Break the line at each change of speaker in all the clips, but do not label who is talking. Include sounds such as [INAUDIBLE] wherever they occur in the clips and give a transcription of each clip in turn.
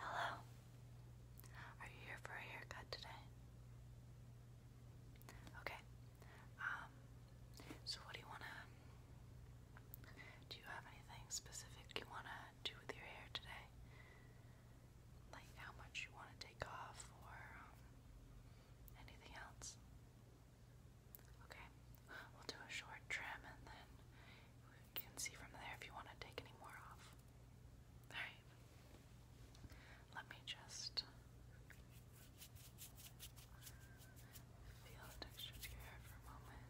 Hello. Are you here for a haircut today? Okay. Um so what do you wanna do you have anything specific you wanna do with your hair today? Like how much you wanna take off or um, anything else? Okay. We'll do a short trim and then you can see from there if you want to take any more off. Alright. Let me just feel the texture to your hair for a moment.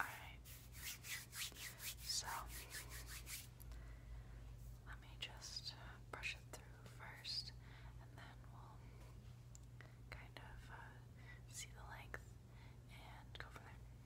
Alright, so let me just uh, brush it through first, and then we'll kind of uh, see the length and go from there.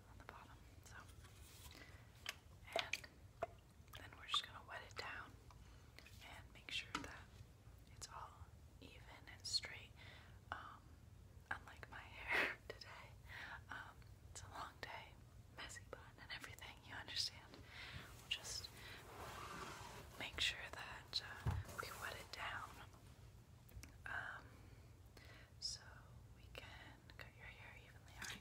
So, and then we're just gonna wet it down and make sure that it's all even and straight. Um, unlike my [LAUGHS] hair today, um, it's a long day, messy bun and everything. You understand? just make sure that uh, we wet it down um, so we can cut your hair evenly, alright?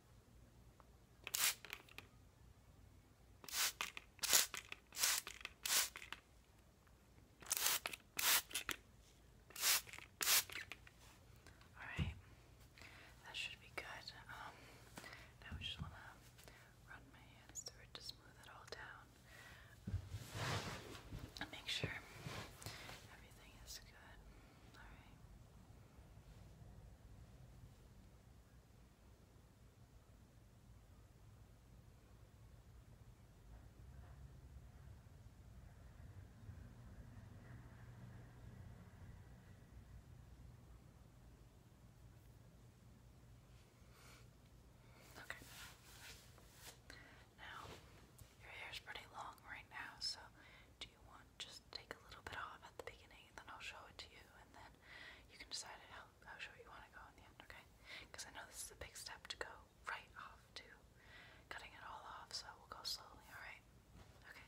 Alright, that should be good. Um, now we just want to run my hands through it to smooth it all down and make sure everything is good. Alright. Okay. Now, your hair's pretty long right now, so do you want just take a little bit off at the beginning, and then I'll show it to you, and then you can decide how, how short you want to go in the end, okay? Because I know this is a big step to go right off to cutting it all off, so we'll go slowly, alright? Okay.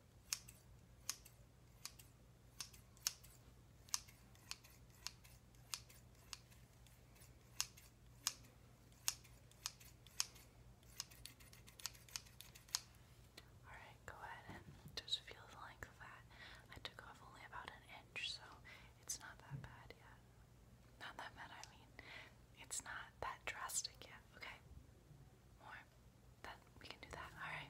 Alright, go ahead and just feel the length of that. I took off only about an inch, so it's not that bad yet. Not that bad, I mean, it's not that drastic yet, okay? more. That we can do that. All right.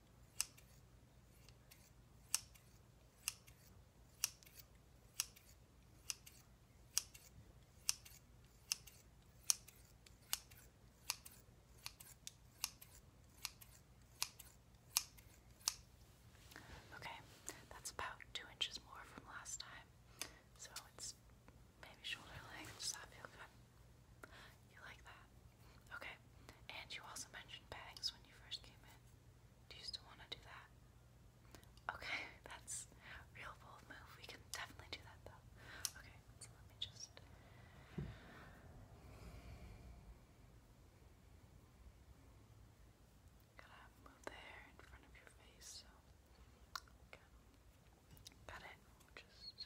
Okay, that's about two inches more from last time. So it's maybe shoulder length. Does that feel good? You like that? Okay. And you also mentioned bags when you first came in. Do you still want to do that? Okay, [LAUGHS] that's real bold move. We can definitely do that though. Okay, so let me just gotta move the hair in front of your face. So, got it. Just.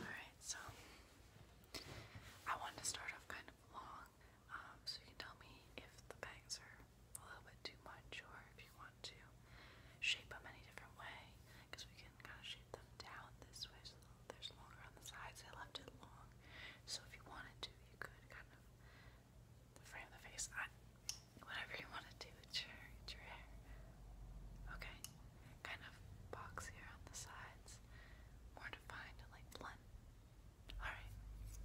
Alright, so I want to start off kind of long, um, so you can tell me if the bangs are a little bit too much or if you want to shape them any different way because we can kind of shoot them down this way so there's longer on the sides. I left it long, so if you wanted to, you could kind of frame the face. I, whatever you want to do, it's your, it's your hair. Okay, kind of boxier on the sides, more defined and like blunt. Alright,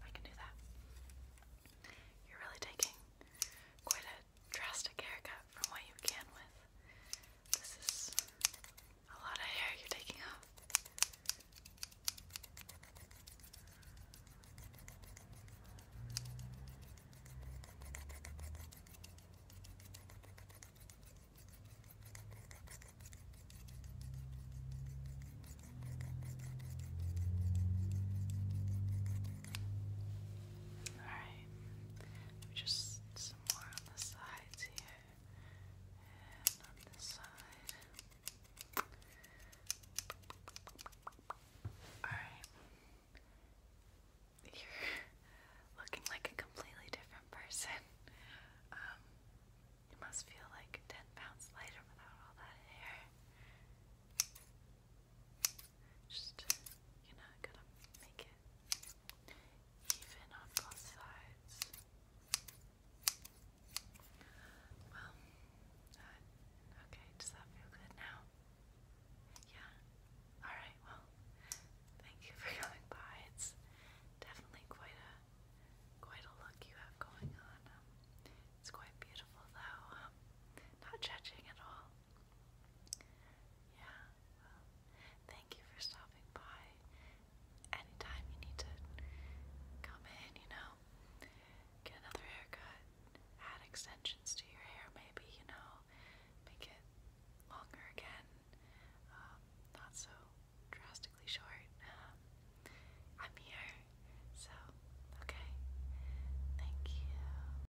I can do that. You're really taking quite a drastic haircut from what you began with. This is a lot of hair you're taking off. All right, just more on the sides here and on this side. Alright. You're looking like a completely different person. Um, you must feel like 10 pounds lighter without all that hair. Just, you know, gotta make it even on both sides. Well, uh, okay, does that feel good now? Yeah? Alright, well, thank you for [LAUGHS] coming by. It's definitely quite a quite a look you have going on. Um, it's quite beautiful though. Um, not judging at all. Yeah well, um, thank you for stopping by. Anytime you need to come in, you know, get another haircut, add extensions to your hair, maybe, you know, make it longer again, um, not so drastically short. Um, I'm here, so okay. Thank you.